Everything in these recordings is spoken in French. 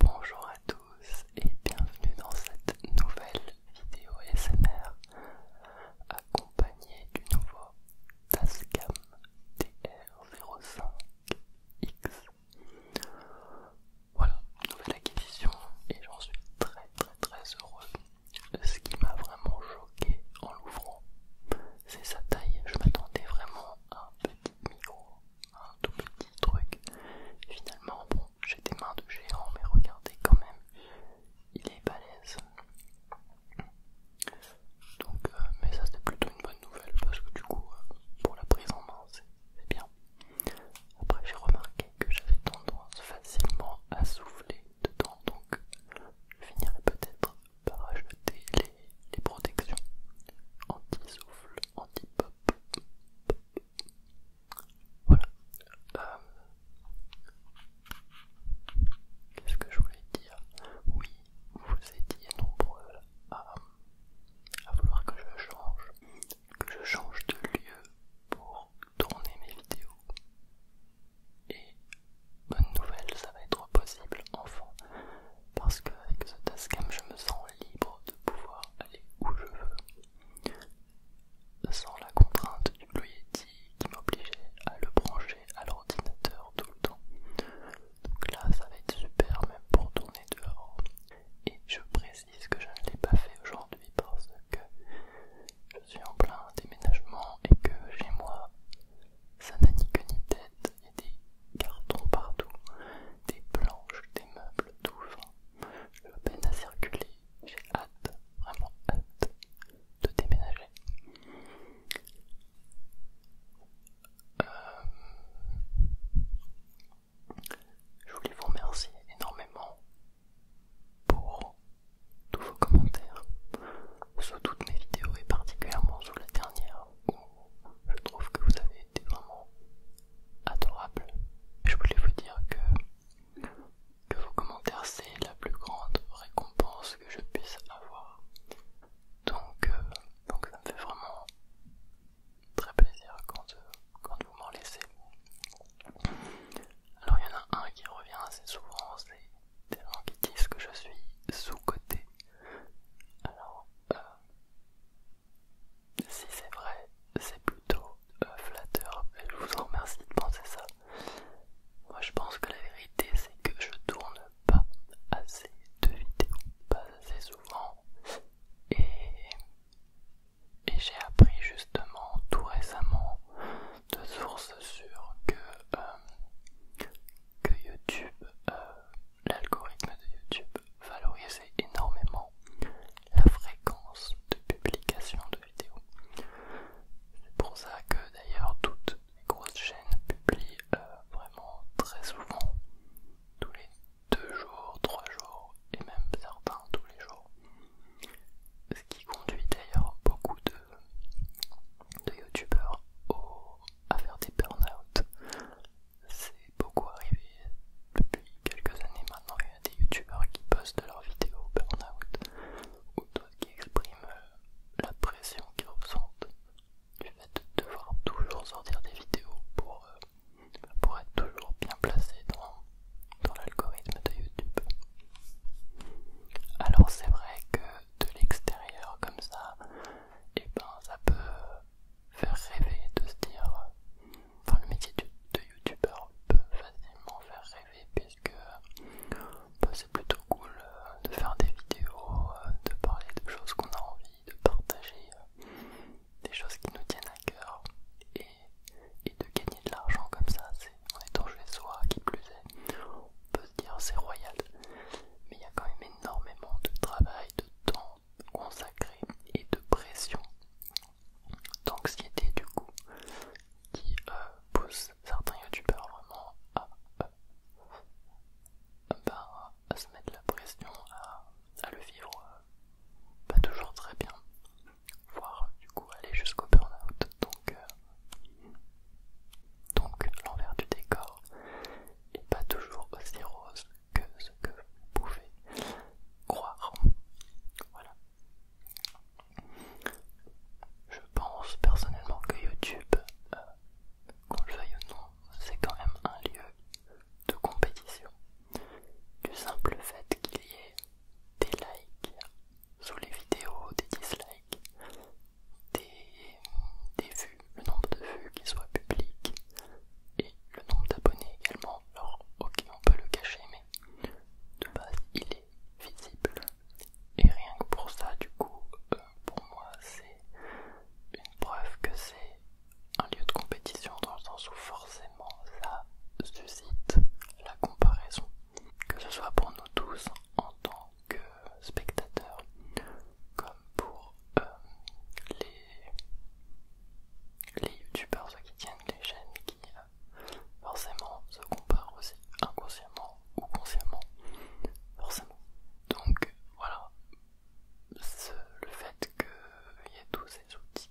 Bonjour à tous et bienvenue dans cette nouvelle vidéo SMR accompagnée du nouveau Tascam TR05X. Voilà, nouvelle acquisition et j'en suis très très très heureux. Ce qui m'a vraiment choqué en l'ouvrant, c'est sa taille. Je m'attendais vraiment à un petit un tout petit truc. Finalement, bon, j'ai des mains de géant, mais regardez quand même, il est balèze. Donc, euh, mais ça c'était plutôt une bonne nouvelle parce que du coup, euh, pour la prise en main, c'est bien. Après, j'ai remarqué que j'avais tendance facilement à souffler dedans, donc je finirai peut-être par ajouter les, les protections anti-souffle, anti-pop. Voilà. Euh, qu'est-ce que je voulais dire Oui, vous étiez nombreux à, vouloir que je change, que je change de lieu pour tourner mes vidéos. Et bonne nouvelle, ça va être possible enfin, parce que avec ce je me sens libre de pouvoir aller où je veux, sans la contrainte du Blue qui m'obligeait à le brancher à l'ordinateur tout le temps. Donc là, ça va être super même pour tourner dehors. Et je précise que je ne l'ai pas fait aujourd'hui parce que je suis en plein déménagement et que chez moi, ça n'a ni queue ni tête il y a des cartons partout, des planches, des meubles, tout. vent. je peine à circuler. J'ai hâte, vraiment hâte de déménager. Euh, je voulais vous remercier énormément pour tous vos commentaires sous toutes mes vidéos et particulièrement sous la dernière je trouve que vous avez été vraiment adorable. Je voulais vous dire que, vos commentaires, c'est la plus grande récompense que je puisse avoir. Donc, euh, donc ça me fait vraiment très plaisir quand, euh, quand vous m'en laissez. Alors il y en a un qui revient assez souvent, c'est des gens qui disent que je suis sous-côté. Alors, euh, si c'est vrai, c'est plutôt euh, flatteur. Je vous en remercie de penser ça. Moi je pense que la vérité c'est que je tourne pas assez de vidéos, pas assez souvent. Et, j'ai appris justement tout récemment de sources sûres euh, que, YouTube, euh, l'algorithme de YouTube valoriser énormément la fréquence de publication de vidéos. C'est pour ça que d'ailleurs toutes les grosses chaînes publient euh, vraiment très souvent, tous les deux jours, trois jours et même certains tous les jours. Ce qui conduit d'ailleurs beaucoup de, de youtubeurs à faire des burn-out c'est beaucoup arrivé depuis quelques années maintenant. Il y a des youtubeurs qui postent leurs vidéos burn-out ou d'autres qui expriment euh, la pression qu'ils ressentent du fait de devoir toujours sortir des vidéos pour, euh, pour être toujours bien placé dans, l'algorithme de YouTube. Alors c'est vrai que de l'extérieur comme ça, et eh ben ça peut faire rêver, de se dire. Enfin, le métier de, youtubeur peut facilement faire rêver puisque bah, c'est plutôt cool euh, de faire des vidéos, euh, de parler de choses qu'on a envie, de partager euh, des choses qui nous tiennent à cœur et, et de gagner de l'argent comme ça, c'est en étant chez soi qui plus est, on peut se dire c'est royal, mais il y a quand même énormément de travail, de temps, consacré et de pression d'anxiété du coup qui euh, pousse certains youtubeurs vraiment euh, bah, à, se mettre la pression à, le vivre euh, pas toujours très bien voire du coup aller jusqu'au burn-out donc, donc l'envers du décor est pas toujours aussi rose que ce que vous pouvez croire. Voilà. Je pense personnellement que YouTube, euh, qu'on le veuille ou non, c'est quand même un lieu de compétition. Du simple fait qu'il y ait des likes sous les vidéos, des dislikes, des, des vues, le nombre de vues qui soit public, et le nombre d'abonnés également. Alors, ok, on peut le cacher, mais de base, il est visible. Et rien que pour ça, du coup, euh, pour moi, c'est une preuve que c'est un lieu de compétition dans le sens où forcément ça suscite la comparaison. Que ce soit pour nous tous en tant que spectateurs, comme pour euh, les les youtubeurs, qui tiennent les chaînes, qui forcément se comparent aussi inconsciemment ou consciemment, forcément. Donc voilà, le fait qu'il y ait tous ces outils,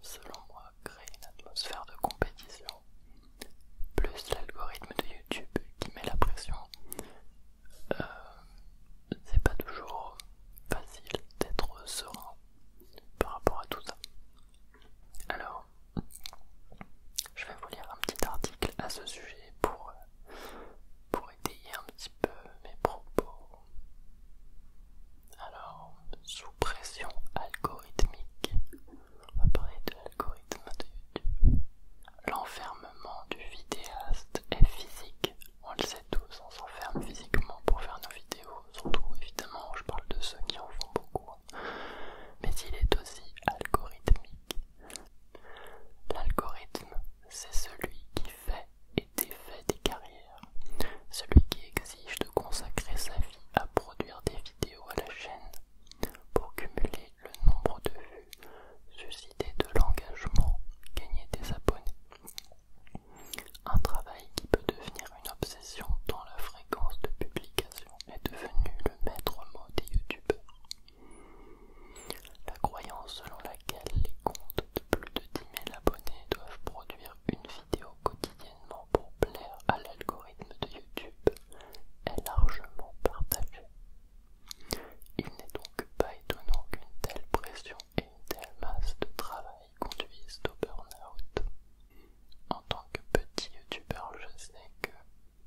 selon moi, crée une atmosphère de compétition, plus l'algorithme de YouTube qui met la pression. Euh, c'est pas toujours facile d'être serein par rapport à tout ça. Alors, je vais vous lire un petit article à ce sujet pour, pour étayer un petit peu mes propos. Alors, sous pression algorithmique, on va parler de l'algorithme de YouTube. L'enfermement du vidéaste est physique on le sait tous, on s'enferme physiquement pour faire nos vidéos, surtout évidemment je parle de ceux qui en font beaucoup. Mais il est aussi algorithmique. L'algorithme, c'est celui qui fait et défait des carrières, celui qui exige de consacrer sa vie à produire des vidéos à la chaîne pour cumuler le nombre de vues, susciter de l'engagement, gagner des abonnés. Un travail qui peut devenir une obsession dans la fréquence de publication est devenu le maître mot des youtubeurs. La croyance selon laquelle les comptes de plus de 10 000 abonnés doivent produire une vidéo quotidiennement pour plaire à l'algorithme de YouTube est largement partagée. Il n'est donc pas étonnant qu'une telle pression et une telle masse de travail qui conduisent au burn-out. En tant que petit youtubeur, je sais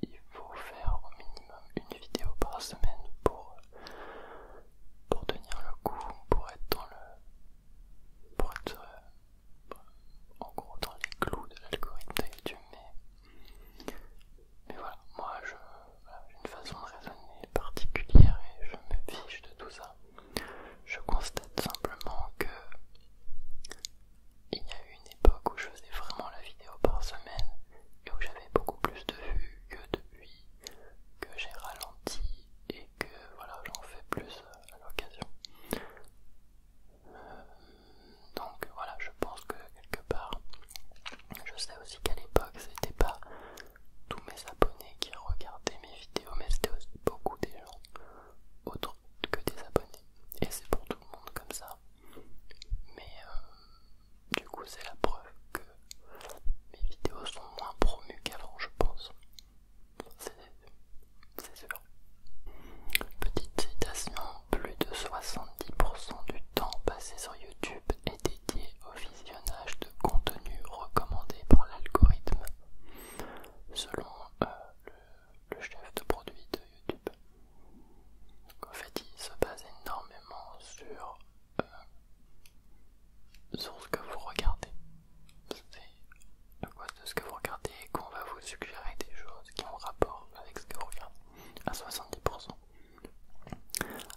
qu'il faut faire au minimum une vidéo par semaine pour, pour tenir le coup, pour être dans le. pour être euh, en gros dans les clous de l'algorithme de YouTube, mais, mais voilà, moi je. j'ai une façon de raisonner particulière et je me fiche de tout ça. Je constate simplement que il y a eu une époque où je faisais vraiment la vidéo par semaine et où j'avais beaucoup plus de vues que depuis que j'ai ralenti et que voilà j'en fais plus à l'occasion. Euh, donc voilà, je pense que quelque part, je sais aussi qu'à l'époque c'était pas tous mes abonnés qui regardaient mes vidéos, mais c'était aussi beaucoup des gens, autres que des abonnés. Et c'est pour tout le monde comme ça. Mais euh, du coup, c'est la preuve que mes vidéos sont moins promues qu'avant, je pense. C'est sûr. Petite citation, plus de 70% du temps passé sur YouTube est dédié au visionnage de contenu recommandé par l'algorithme selon euh, le, chef de produit de YouTube. En fait, il se base énormément sur, euh, sur ce que vous regardez. C'est à cause de ce que vous regardez qu'on va vous suggérer des choses qui ont rapport avec ce que vous regardez à 70%.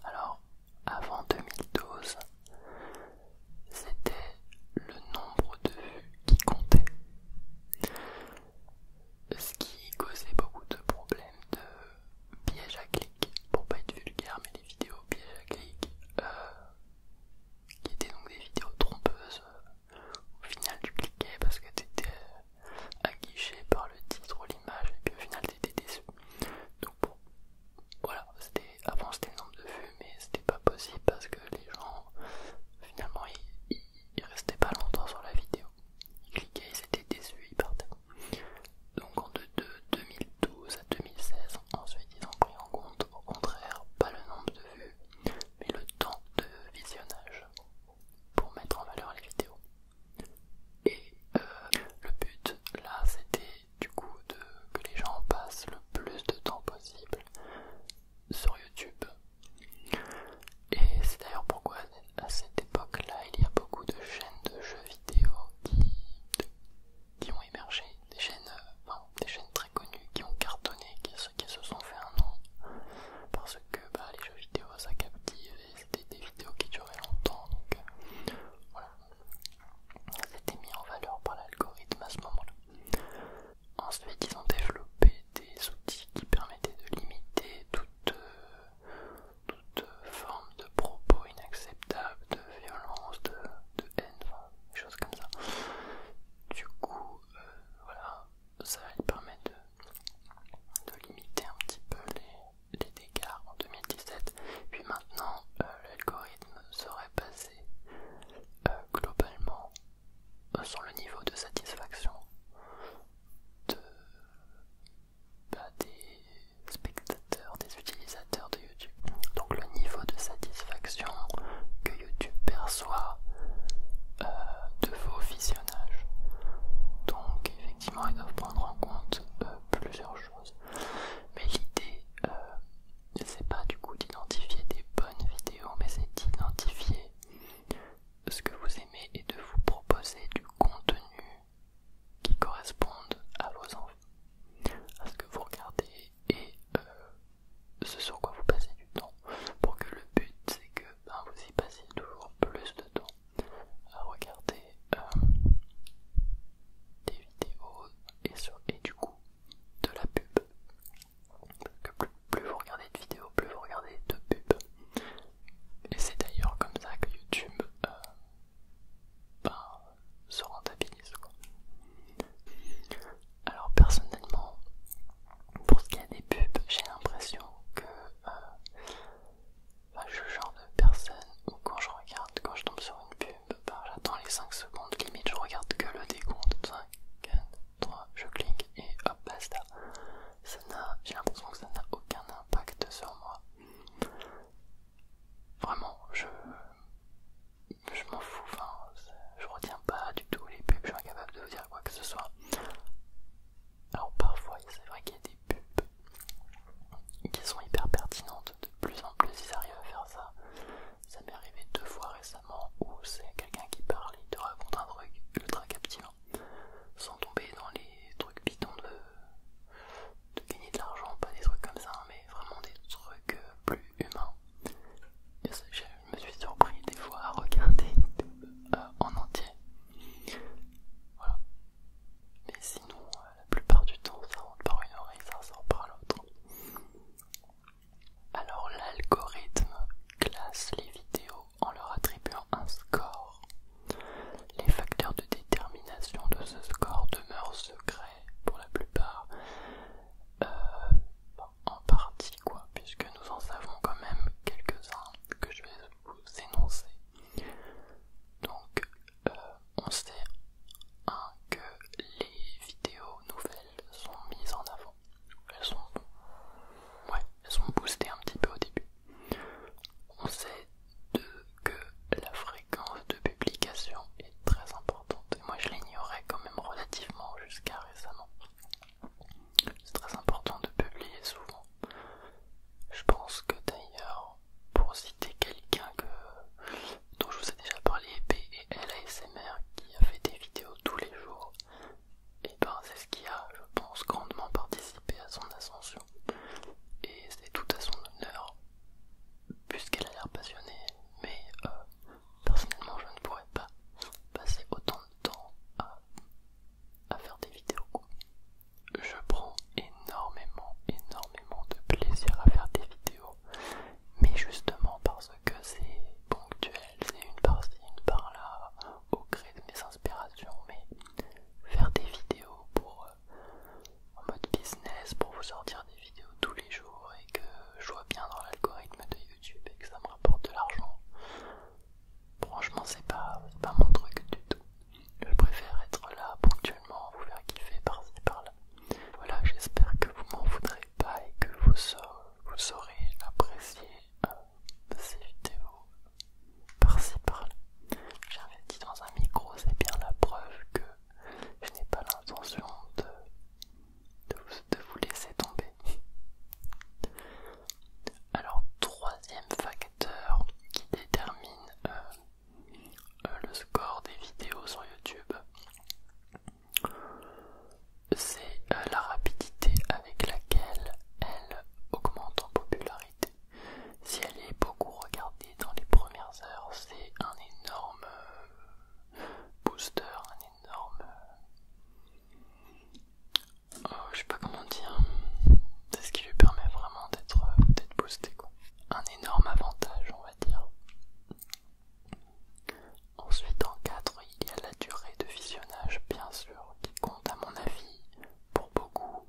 Alors, avant 2012, c'était le nombre de vues qui comptait. Ce qui causait beaucoup de problèmes de piège à clic, pour pas être vulgaire, mais les vidéos pièges à clic, euh, qui étaient donc des vidéos trompeuses. Au final, tu cliquais parce que t'étais euh, aguiché par le titre ou l'image, et puis au final, t'étais déçu voilà, avant c'était le nombre de vues, mais c'était pas possible parce que les gens, finalement, ils, restaient pas longtemps sur la vidéo. Ils cliquaient, ils étaient déçus, ils partaient. Donc en de, 2012 à 2016, ensuite ils ont pris en compte, au contraire, pas le nombre de vues, mais le temps de visionnage pour mettre en valeur les vidéos. Et euh, le but là, c'était du coup de, que les gens passent le plus de temps possible sur YouTube. Et c'est d'ailleurs pourquoi à cette époque-là, il y a beaucoup de chaînes de jeux vidéo qui, ont émergé, des chaînes, euh, des chaînes très connues qui ont cartonné, qui, qui se sont fait un nom, parce que bah, les jeux vidéo ça captive et c'était des vidéos qui duraient longtemps, donc euh, voilà, c'était mis en valeur par l'algorithme à ce moment-là. Ensuite, ils ont développé des outils qui permettaient de limiter toute, euh, euh, forme de propos inacceptables, de violence, de, haine, des choses comme ça. Du coup, euh, voilà, ça permet de, limiter un petit peu les, dégâts en 2017. Puis maintenant, l'algorithme serait basé euh, globalement euh, sur le niveau de satisfaction bah, des spectateurs, des utilisateurs de YouTube. Donc le niveau de satisfaction que YouTube perçoit euh, de vos visionnages. Donc effectivement, ils doivent prendre en compte plusieurs choses. Mais l'idée c'est pas du coup d'identifier des bonnes vidéos, mais c'est d'identifier ce que vous aimez et de vous proposer du contenu qui corresponde à vos envies, à ce que vous regardez et euh, ce sur quoi vous passez du temps. Pour que le but c'est que ben, vous y passiez toujours plus de temps à regarder euh, des vidéos et, sur, et du coup de la pub. que plus, vous regardez de vidéos, plus vous regardez de pubs. Et c'est d'ailleurs comme ça que YouTube euh, ben, se rentabilise. Alors personnellement, pour ce qui est des pubs, j'ai l'impression que euh, je suis le genre de personne où quand je regarde, quand je tombe sur bah, bah, j'attends les 5 secondes, limite je regarde que le décompte, 5, 4, 3, je clique et hop basta. Ça j'ai l'impression que ça n'a aucun impact sur moi. Vraiment, je, je m'en fous, je retiens pas du tout les pubs, je suis incapable de vous dire quoi que ce soit. Alors parfois, c'est vrai qu'il y a des pubs qui sont hyper pertinentes, de plus en plus ils arrivent à faire ça. Ça m'est arrivé deux fois récemment où c'est quelqu'un qui parle, de te raconte un truc ultra captivant, sans tomber dans les trucs bidons de, gagner de l'argent, pas des trucs comme ça, mais vraiment des trucs euh, plus humains. je me suis surpris des fois à regarder euh, en entier. Voilà. Mais sinon, euh, la plupart du temps, ça rentre par une oreille, ça ressort par l'autre. Alors l'algorithme classe les vidéos en leur attribuant un score. Les facteurs de détermination de ce score demeurent secrets pour la plupart. Euh, en partie quoi, puisque nous en savons quand même quelques-uns que je vais vous énoncer. Donc euh, on sait un, que les vidéos nouvelles sont mises en avant. Elles sont, boostées un petit peu au début. On sait que la fréquence de publication est très importante. Et moi, je l'ignorais quand même relativement jusqu'à récemment. C'est très important de publier souvent. Je pense que d'ailleurs, pour citer quelqu'un que dont je vous ai déjà parlé, PLASMR, qui a fait des vidéos tous les jours, et ben c'est ce qui a, je pense, grandement participé à son ascension. Et c'est tout à son honneur, puisqu'elle a l'air passionnée, mais euh, personnellement je ne pourrais pas passer autant de temps à faire des vidéos. Je prends énormément, énormément de plaisir à faire des vidéos mais justement parce que c'est ponctuel, c'est une par-ci, une par-là, au gré de mes inspirations, mais faire des vidéos pour euh, en mode business, pour vous sortir des vidéos tous les jours et que je vois bien dans l'algorithme de YouTube et que ça me rapporte de l'argent, franchement c'est pas, pas mon truc du tout. Je préfère être là ponctuellement, vous faire kiffer par-ci par-là. Voilà, j'espère que vous m'en voudrez pas et que vous sortez vous saurez apprécier euh, ces vidéos par-ci par-là. dit dans un micro, c'est bien la preuve que je n'ai pas l'intention de, de, vous laisser tomber. Alors, troisième facteur qui détermine euh, euh, le score des vidéos sur YouTube, c'est euh, la rapidité avec laquelle elle augmente en popularité. Si elle est beaucoup regardée dans les premières heures, c'est un énorme euh, booster, un énorme... Euh, oh, je sais pas comment dire. C'est ce qui lui permet vraiment d'être boosté. Quoi. Un énorme avantage, on va dire. Ensuite, en 4, il y a la durée de visionnage, bien sûr, qui compte à mon avis pour beaucoup.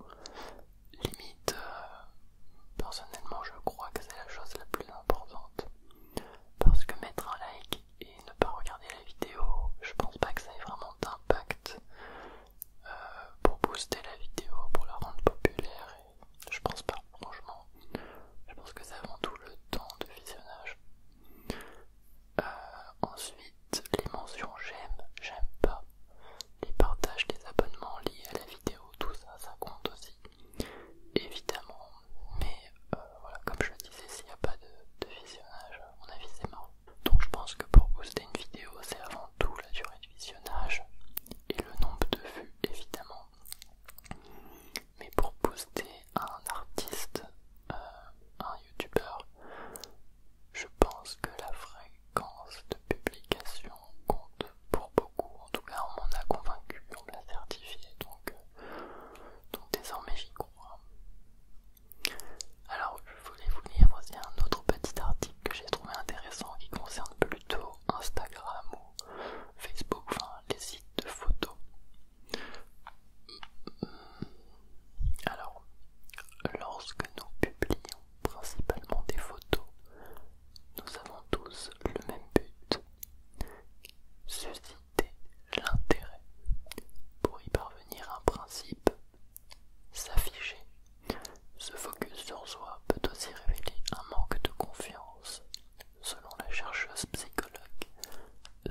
Limite, euh, personnellement, je crois que c'est la chose la plus importante. Parce que mettre un like et ne pas regarder la vidéo, je pense pas que ça ait vraiment d'impact euh, pour booster la vidéo, pour la rendre populaire. Et je pense pas, franchement. Je pense que c'est avant tout le temps de visionnage. Euh, ensuite, les mentions j'aime, j'aime pas, les partages les abonnements liés à la vidéo, tout ça, ça compte aussi, évidemment. Mais euh, voilà, comme je le disais, s'il n'y a pas de, visionnage, on a avis c'est marrant. Donc je pense que pour booster une vidéo, c'est avant tout la durée de visionnage et le nombre de vues, évidemment mais pour à un artiste, euh, un youtubeur, je pense que la fréquence de publication compte pour beaucoup. En tout cas, on m'en a convaincu, on me l'a certifié, donc, euh, donc désormais j'y crois. Alors, je voulais vous lire aussi un autre petit article que j'ai trouvé intéressant qui concerne plutôt Instagram ou Facebook, enfin les sites de photos. Alors, lorsque nous publions principalement des photos, nous avons tous le même but, susciter l'intérêt. Pour y parvenir, un principe, s'afficher. Ce focus sur soi peut aussi révéler un manque de confiance selon la chercheuse psychologue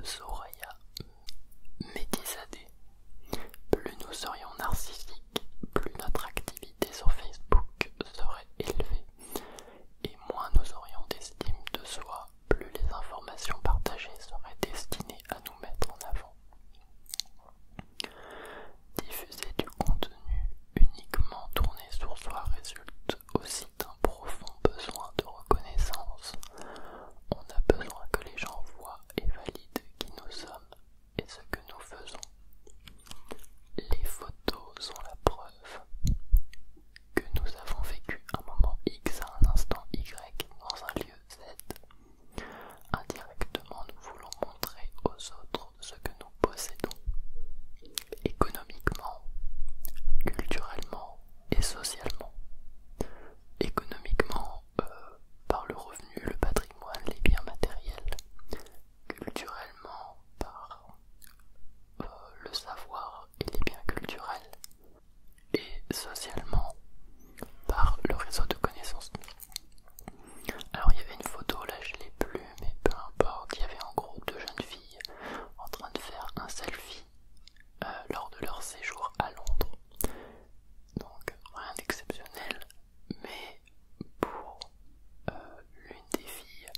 Zoraya Médizade, Plus nous serions narcissiques, plus notre activité sur Facebook serait élevée et moins nous aurions d'estime de soi, plus les informations partagées seraient destinées à nous mettre en avant. Diffuser du contenu uniquement tourné sur soi résulte aussi d'un profond besoin de reconnaissance. On a besoin que les gens voient et valident qui nous sommes et ce que nous faisons. Les photos sont la preuve que nous avons vécu un moment X à un instant Y dans un lieu Z. Indirectement, nous voulons montrer aux autres ce que nous possédons économiquement, culturellement, et socialement. Économiquement, euh, par le revenu, le patrimoine, les biens matériels. Culturellement, par euh, le savoir et les biens culturels. Et socialement, par le réseau de connaissances. Alors il y avait une photo, là je l'ai plus, mais peu importe, il y avait un groupe de jeunes filles en train de faire un selfie euh, lors de leur séjour à Londres. Donc rien d'exceptionnel, mais pour euh, l'une des filles,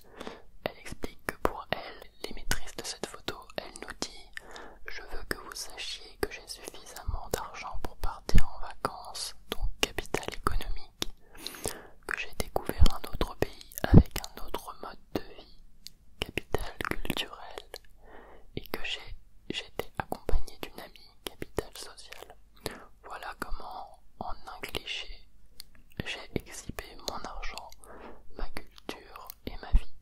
elle explique que pour elle, les maîtresses de cette photo, elle nous dit Je veux que vous sachiez que j'ai suffisamment d'argent pour partir en vacances, donc capital économique, que j'ai découvert un autre pays avec un autre mode de vie, Capital culturel et que j'étais accompagné d'une amie Capitale sociale. Voilà comment, en un cliché, j'ai exhibé mon argent, ma culture et ma vie.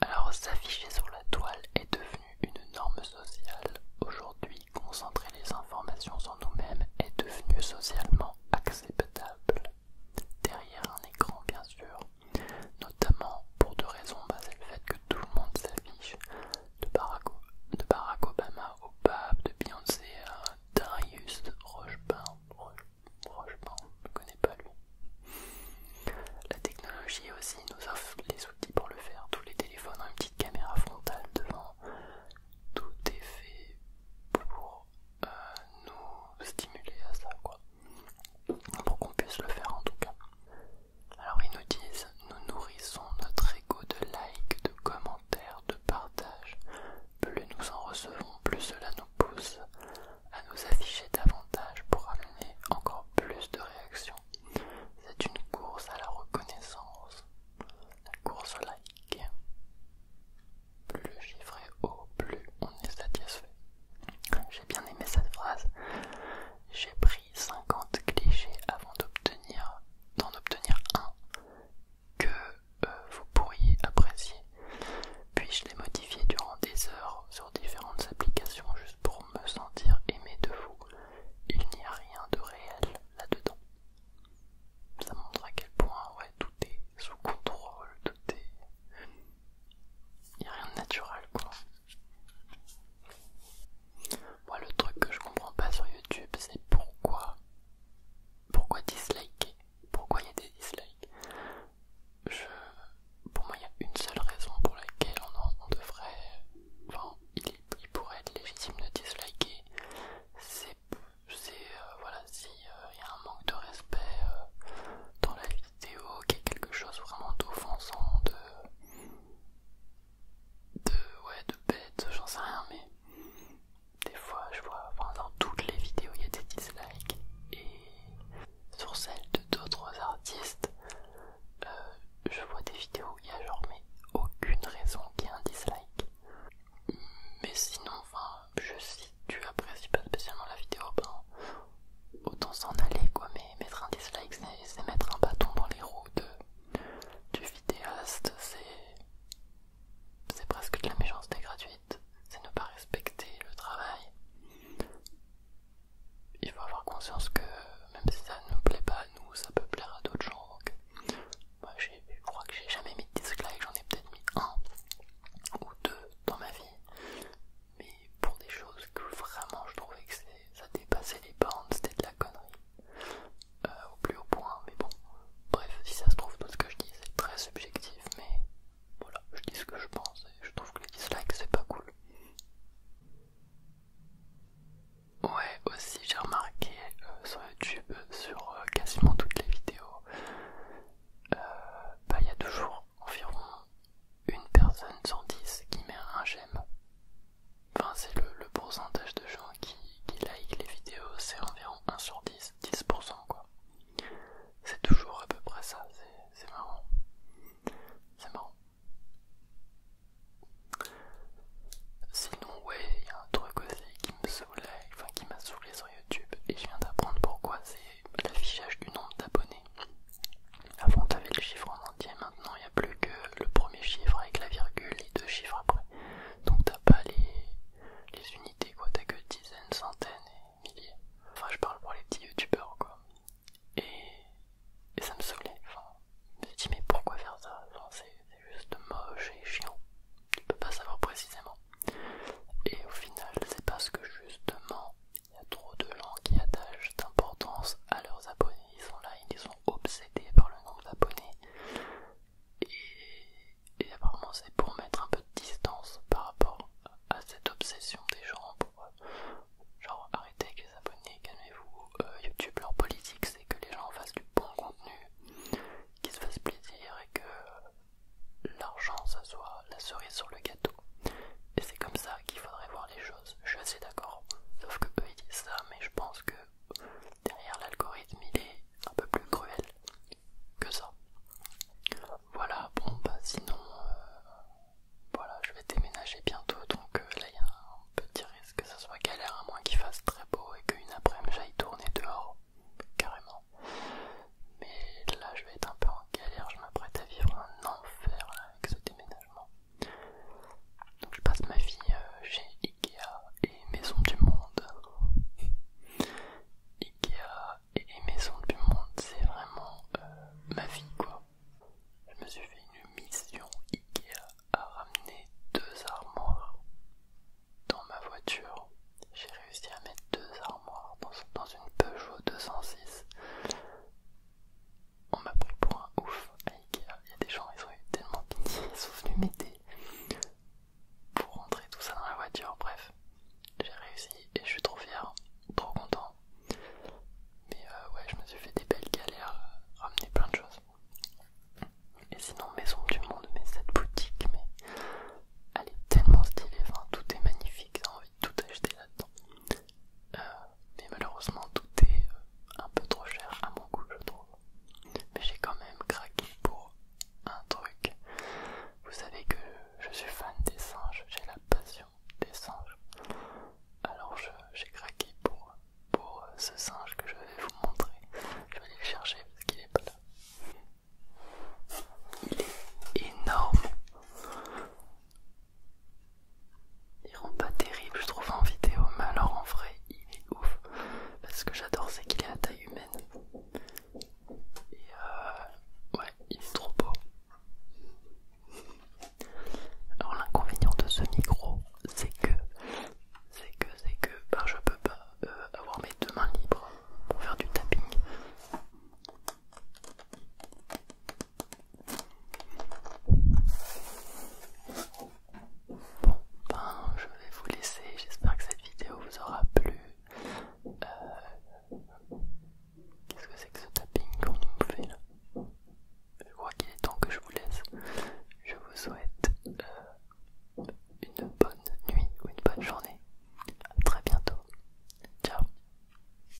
Alors s'afficher sur la toile est devenu une norme sociale. Aujourd'hui, concentrer les informations sur nous-mêmes est devenu socialement acceptable derrière un écran bien sûr, notamment pour deux raisons, basées le fait que tout le monde s'affiche, de Barack, Obama au pape, de Beyoncé à Darius Rochebain, Rochebain, je ne connais pas lui. La technologie aussi nous offre les outils pour le faire, tous les téléphones ont une petite caméra frontale devant, tout est fait pour nous stimuler à ça, quoi. Pour qu'on puisse le faire en tout cas. Alors ils nous disent, nous nourrissons notre ego de likes, de commentaires, de partages. Plus nous en recevons, plus cela nous pousse à nous afficher davantage pour amener encore plus de réactions. C'est une course à la reconnaissance, la course au like plus le chiffre est haut, plus on est satisfait. J'ai bien aimé cette phrase. J'ai pris 50 clichés avant d'en obtenir un que euh, vous pourriez apprécier. Puis je les modifier durant des heures sur différentes applications juste pour me sentir aimé de vous. Il n'y a rien de réel là-dedans. Ça montre à quel point ouais, tout est sous contrôle, tout est il n'y a rien de naturel quoi. Moi le truc que je comprends pas sur YouTube c'est pourquoi pourquoi disliker Pourquoi il y a des dislikes Pour moi il y a une seule raison pour laquelle on, devrait enfin il, pourrait être légitime de disliker c'est euh, voilà s'il y a un manque de respect euh, dans la vie vidéo qui est quelque chose vraiment d'offensant, de, de, ouais, de bête, j'en sais rien, mais des fois je vois, enfin dans toutes les vidéos il y a des dislikes et sur celles de d'autres artistes, euh, je vois des vidéos où il y a genre mais aucune raison qu'il y ait un dislike. Mais sinon, enfin, je, si tu apprécies pas spécialement la vidéo, bon, autant s'en aller quoi. Mais mettre un dislike, c'est mettre un bâton dans les roues de, du vidéaste, c'est presque de la méchanceté gratuite, c'est ne pas respecter le travail. Il faut avoir conscience que même si ça ne nous plaît pas à nous, ça peut plaire à d'autres gens. Donc, moi, je crois que j'ai jamais mis de dislike, j'en ai peut-être mis un ou deux dans ma vie, mais pour des choses que vraiment je trouvais que ça dépassait les bandes, c'était de la connerie. Euh, au plus haut point, mais bon, bref, si ça se trouve, tout ce que je dis c'est très subjectif, mais voilà, je dis ce que je pense et je trouve que les dislikes c'est pas cool. Ouais, aussi j'ai remarqué euh, sur YouTube, euh, sur quasiment toutes les vidéos, bah, il y a toujours environ une personne sur 10 qui met un j'aime. Enfin, c'est le, le pourcentage de gens qui, qui like les vidéos, c'est environ 1 sur 10, 10% quoi. C'est toujours à peu près ça, c'est marrant. C'est marrant. Sinon, ouais, il y a un truc aussi qui me saoule, enfin qui m'a saoulé sur YouTube, et je viens d'apprendre pourquoi c'est l'affichage du nombre d'abonnés. Avant, t'avais le chiffre en entier, maintenant il y a plus que le premier chiffre avec la virgule et deux chiffres après. Donc t'as pas les, les unités, quoi, t'as que dizaines, centaines et milliers. Enfin, je parle pour les petits youtubeurs, quoi. Et, et ça me saoulait. Enfin, je me dit, mais pourquoi faire ça C'est juste moche et chiant. Tu peux pas savoir précisément. Et au final, c'est parce que justement, il y a trop de gens qui attachent d'importance à leurs abonnés. Ils sont là, ils sont obsédés par le nombre d'abonnés. Et, apparemment, c'est pour mettre un peu de distance par rapport à cette obsession des gens. Pour, euh, genre, arrêtez avec les abonnés, calmez-vous. Euh, YouTube, leur politique, c'est que les gens fassent du bon contenu, qu'ils se fassent plaisir et que euh, l'argent, ça soit la cerise sur le gâteau. Et c'est comme ça qu'il faudrait voir les choses. Je suis assez d'accord. Sauf que eux ils disent ça, mais je pense que derrière l'algorithme il est un peu plus cruel que ça. Voilà, bon bah sinon euh, voilà je vais déménager bientôt donc euh, là il y a un petit risque que ça soit galère à moins qu'il fasse très beau et qu'une après-midi j'aille tourner dehors carrément. Mais là je vais être un peu galère, je m'apprête à vivre un enfer avec ce déménagement. Donc je passe ma vie euh, chez Ikea et Maison du Monde. Ikea et Maison du Monde, c'est vraiment euh, ma vie quoi. Je me suis fait une mission Ikea à ramener deux armoires dans ma voiture. J'ai réussi à mettre deux armoires dans, dans une Peugeot 206 on m'a pris pour un ouf à Ikea. Il y a des gens, ils ont eu tellement pitié, ils sont venus m'aider pour rentrer tout ça dans la voiture. Bref, j'ai réussi et je suis trop fier, trop content. Mais euh, ouais, je me suis fait des belles galères, à ramener plein de choses. Et sinon, Maison du Monde, mais cette boutique, mais elle est tellement stylée, tout est magnifique, j'ai envie de tout acheter là-dedans. Euh, mais malheureusement tout est euh, un peu trop cher à mon goût je trouve. Mais j'ai quand même craqué pour un truc. Vous savez que je suis fan des singes, j'ai la passion des singes. Alors j'ai craqué pour, pour euh, ce singe que je vais vous montrer. Je vais aller le chercher parce qu'il est pas là. Il est énorme. Il rend pas terrible, je trouve, en vidéo, mais alors en vrai, il est ouf. Parce que j'adore, c'est qu'il est à taille humaine. Et euh, ouais, il est trop beau. Alors l'inconvénient de ce micro, c'est que, c'est que, c'est que, ben, je peux pas euh, avoir mes deux mains libres pour faire du tapping. Bon ben je vais vous laisser, j'espère que cette vidéo vous aura plu. Euh, qu'est-ce que c'est que ce tapping qu'on nous fait là Je crois qu'il est temps que je vous laisse. Je vous souhaite euh, une bonne nuit ou une bonne journée. A très bientôt. Ciao